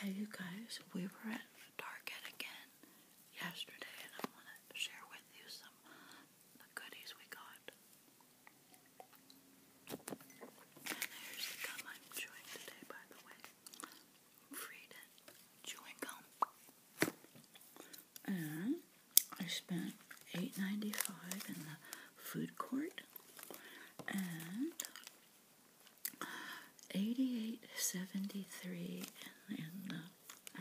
Hey you guys, we were at Target again yesterday and I want to share with you some the goodies we got. And here's the gum I'm chewing today by the way. Frieden chewing gum. And I spent $8.95 in the food court and 88.73 in, in the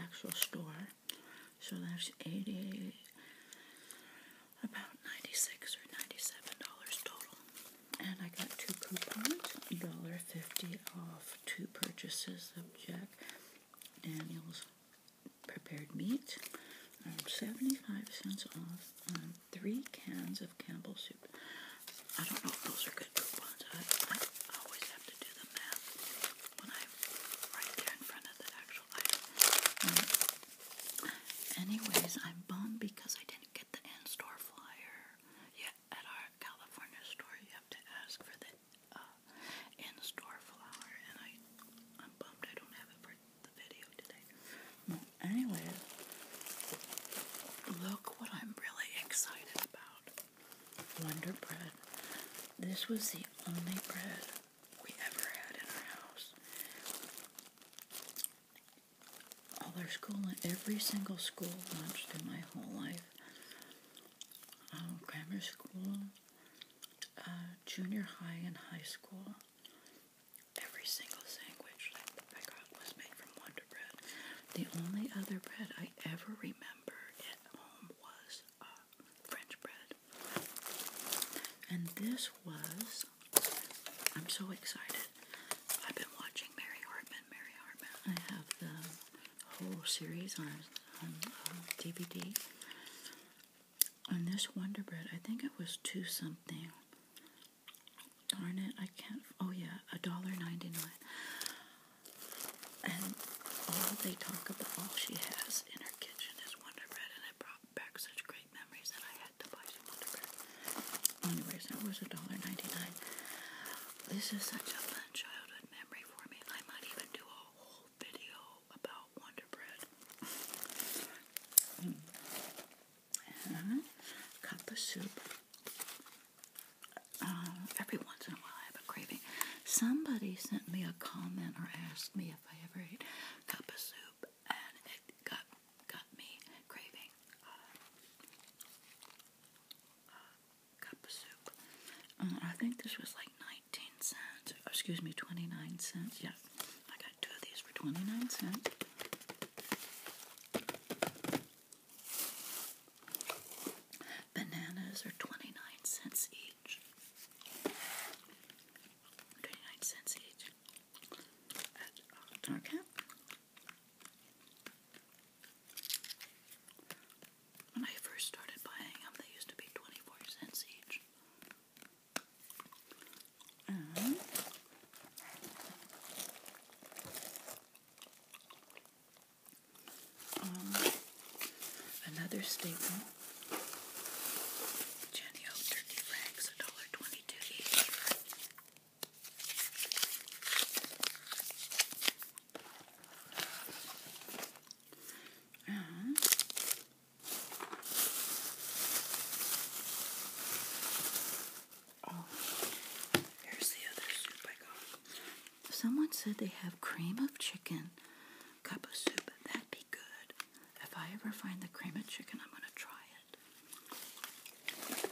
actual store. So that's 88 about 96 or 97 dollars total. And I got two coupons, $1.50 off two purchases of Jack Daniels prepared meat, um, 75 cents off three cans of Campbell's soup. I don't know if those are good coupons. I, always have to do the math when I'm right there in front of the actual item. Um, anyways, I'm bummed because I didn't get the in-store flyer. Yeah, at our California store, you have to ask for the uh, in-store flyer, and I, I'm bummed I don't have it for anyway, look what I'm really excited about. Wonder Bread. This was the only bread we ever had in our house. All our school, every single school lunch in my whole life. Um, grammar school, uh, junior high and high school, Every single sandwich that I got was made from Wonder Bread. The only other bread I ever remember at home was uh, French bread. And this was, I'm so excited. I've been watching Mary Hartman, Mary Hartman. I have the whole series on, on DVD. Um, on this Wonder Bread, I think it was two something. Darn it, I can't. Oh, yeah, a dollar ninety-nine. And all they talk about, all she has in her kitchen is Wonder Bread, and it brought back such great memories that I had to buy some Wonder Bread. Anyways, that was a dollar ninety-nine. This is such a fun childhood memory for me. I might even do a whole video about Wonder Bread and uh-huh. cut soup. Uh, every once in a while, I have a craving. Somebody sent me a comment or asked me if I ever ate cup of soup, and it got got me craving uh, uh, cup of soup. I think this was like nineteen cents. Excuse me, twenty nine cents. Yeah, I got two of these for 29 cents. Bananas are 29 cents each. 29 cents each at When I first started buying them, they used to be 24 cents each. And um, another staple. Jenny O turkey rags, a dollar twenty-two each. And uh-huh. Oh, Someone said they have cream of chicken cup of soup. That'd be good. If I ever find the cream of chicken, I'm gonna try it.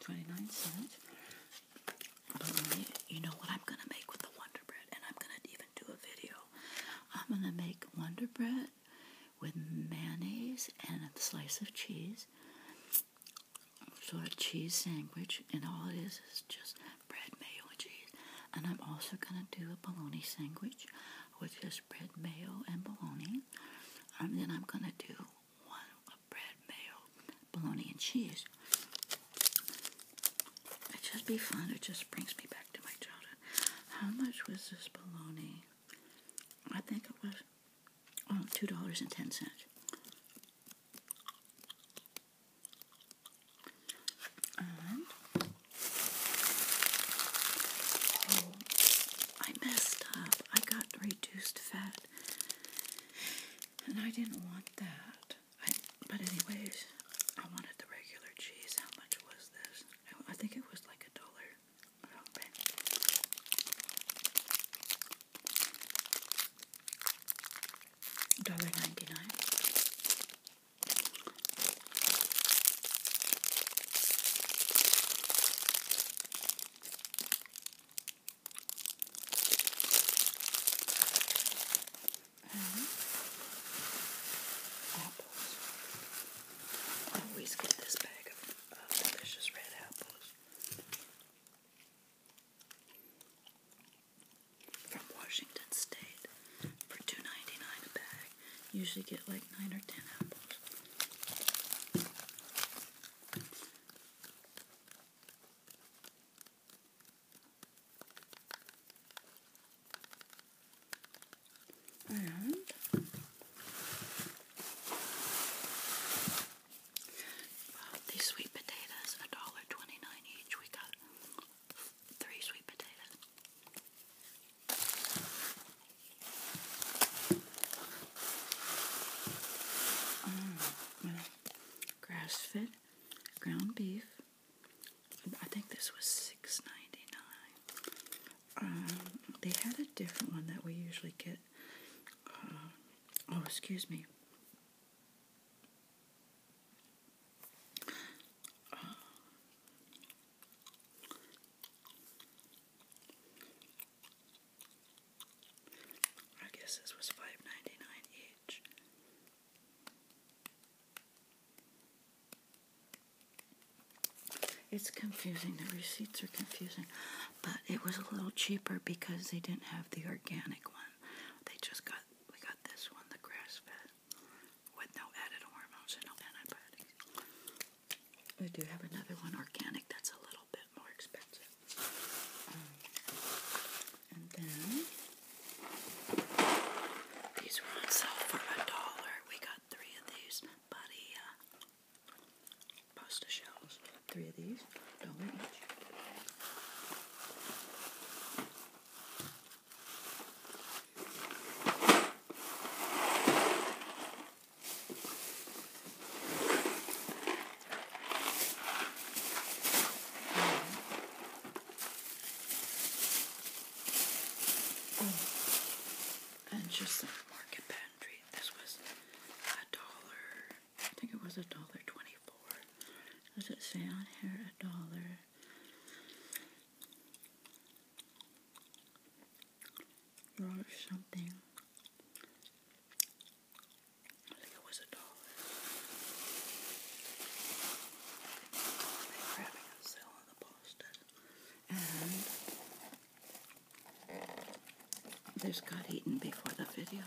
29 cents. you know what I'm gonna make with the Wonder Bread, and I'm gonna even do a video. I'm gonna make Wonder Bread with mayonnaise and a slice of cheese, sort a cheese sandwich, and all it is is just bread, mayo, cheese. And I'm also gonna do a bologna sandwich with just bread, mayo, and bologna. And then I'm gonna do one of bread, mayo, bologna, and cheese. It just be fun. It just brings me back to my childhood. How much was this bologna? I think it was Oh, two dollars and ten cents. Oh, I messed up. I got reduced fat, and I didn't want that. but anyways, I wanted the regular cheese. How much was this? I think it was like a dollar a little $1.99. always get this bag of delicious red apples from Washington State for 2 a bag. Usually get like 9 or 10 apples these sweet potatoes, a dollar twenty nine each. We got three sweet potatoes. Mm, grass fed ground beef. I think this was six ninety nine. Um, they had a different one that we usually get. Uh, oh, excuse me. Uh, I guess this was five ninety nine each. It's confusing. The receipts are confusing. But it was a little cheaper because they didn't have the organic one. They just got, we got this one, the grass fed, with no added hormones no antibiotics. We do have another one, organic, that's a little bit more expensive. Um, and then. These were on sale for a dollar. We got three of these, buddy. Uh, pasta shells. Three of these, dollar each. and just some market pantry this was a dollar. I think it was a dollar twenty-four. Does it say on here a dollar? Or something. I think it was a dollar. They're grabbing a sale on the post. And this got eaten before the video.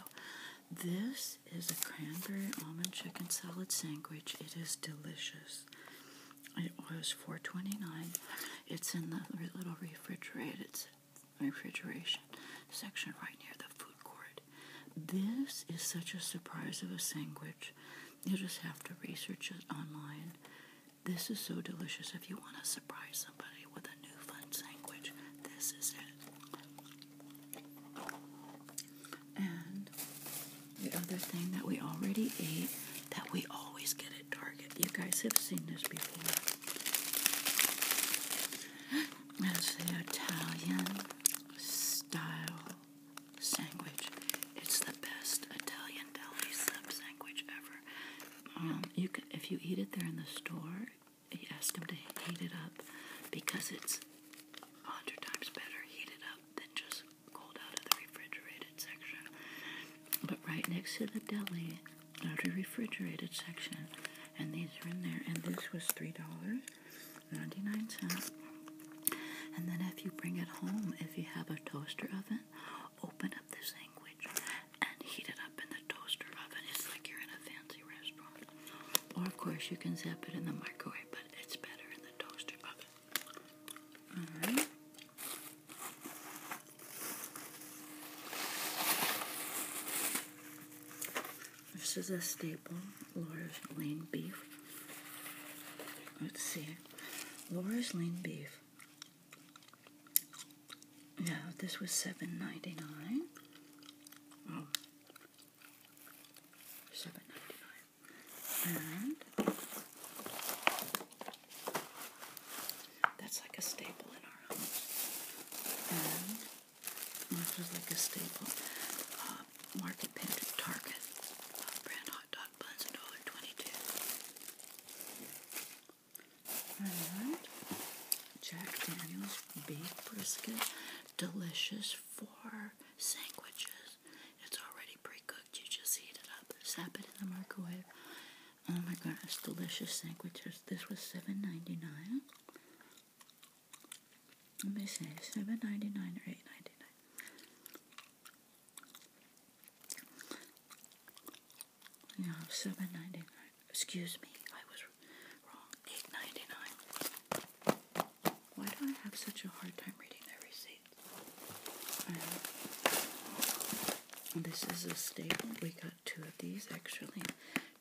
This is a cranberry almond chicken salad sandwich. It is delicious. It was $4.29. It's in the little refrigerated refrigeration section right near the food court. This is such a surprise of a sandwich. You just have to research it online this is so delicious. If you want to surprise somebody with a new fun sandwich, this is it. And the other thing that we already ate that we always get at Target, you guys have seen this before, It's the Italian style sandwich. It's the best Italian deli sub sandwich ever. Um, you can, if you eat it there in the store, you ask them to heat it up because it's a hundred times better heated up than just cold out of the refrigerated section. But right next to the deli, out of the refrigerated section, and these are in there. And this was three dollars ninety nine cents. And then if you bring it home, if you have a toaster oven, open up this thing and heat it up in the toaster oven. It's like you're in a fancy restaurant. Or, of course, you can zap it in the microwave, but it's better in the toaster oven. Alright. This is a staple, Laura's lean beef. Let's see. Laura's lean beef yeah, this was seven ninety nine. Oh. Seven ninety nine. And that's like a staple in our house. And this was like a staple. Uh, market pin Target. Uh, brand hot dog buns, $1.22. Jack Daniels beef brisket. Delicious for sandwiches. It's already pre cooked. You just heat it up, zap it in the microwave. Oh my goodness, delicious sandwiches. This was $7.99. Let me see, $7.99 or $8.99. No, seven ninety nine. Excuse me, I was wrong. Eight ninety nine. Why do I have such a hard time reading their receipts? And this is a staple. We got two of these actually,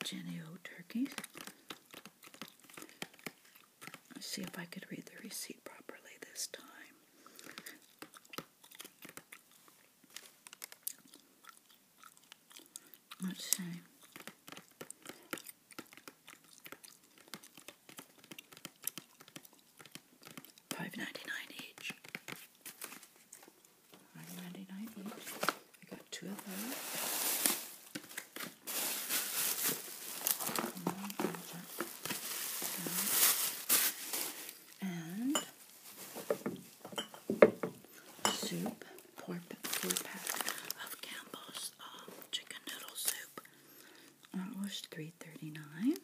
Genio turkeys. Let's see if I could read the receipt properly this time. Let's see. Five ninety nine each. Five ninety nine each. We got two of those. And soup, four, pack of Campbell's um, chicken noodle soup. That was three thirty nine.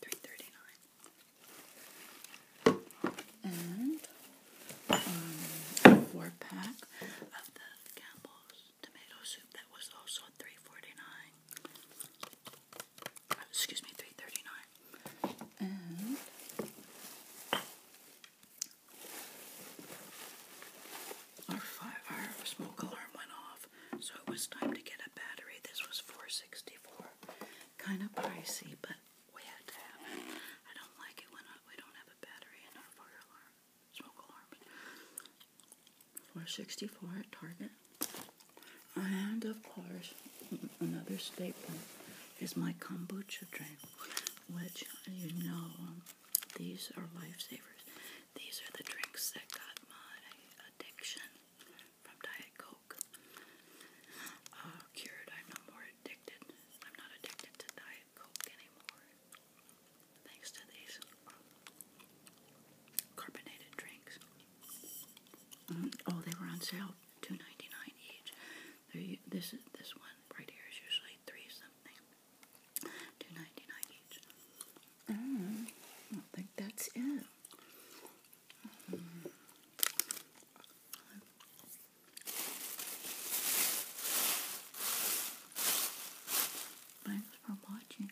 Three thirty nine. And um, four pack of the Campbell's tomato soup. That was also three forty nine excuse me, three thirty nine. And our fire, smoke alarm went off, so it was time to get a battery. This was four sixty four, kind of pricey, but we had to have it. I don't like it when we don't have a battery in our fire alarm, smoke alarm. Four sixty four at Target. And of course, another staple is my kombucha drink, which you know these are lifesavers. These are the drinks that got my addiction from Diet Coke uh, cured. I'm no more addicted. I'm not addicted to Diet Coke anymore, thanks to these carbonated drinks. Mm-hmm. oh, they were on sale, two ninety nine each. they this this one right here is usually three something, two ninety nine each. Mm, I don't think that's it. Thanks for watching.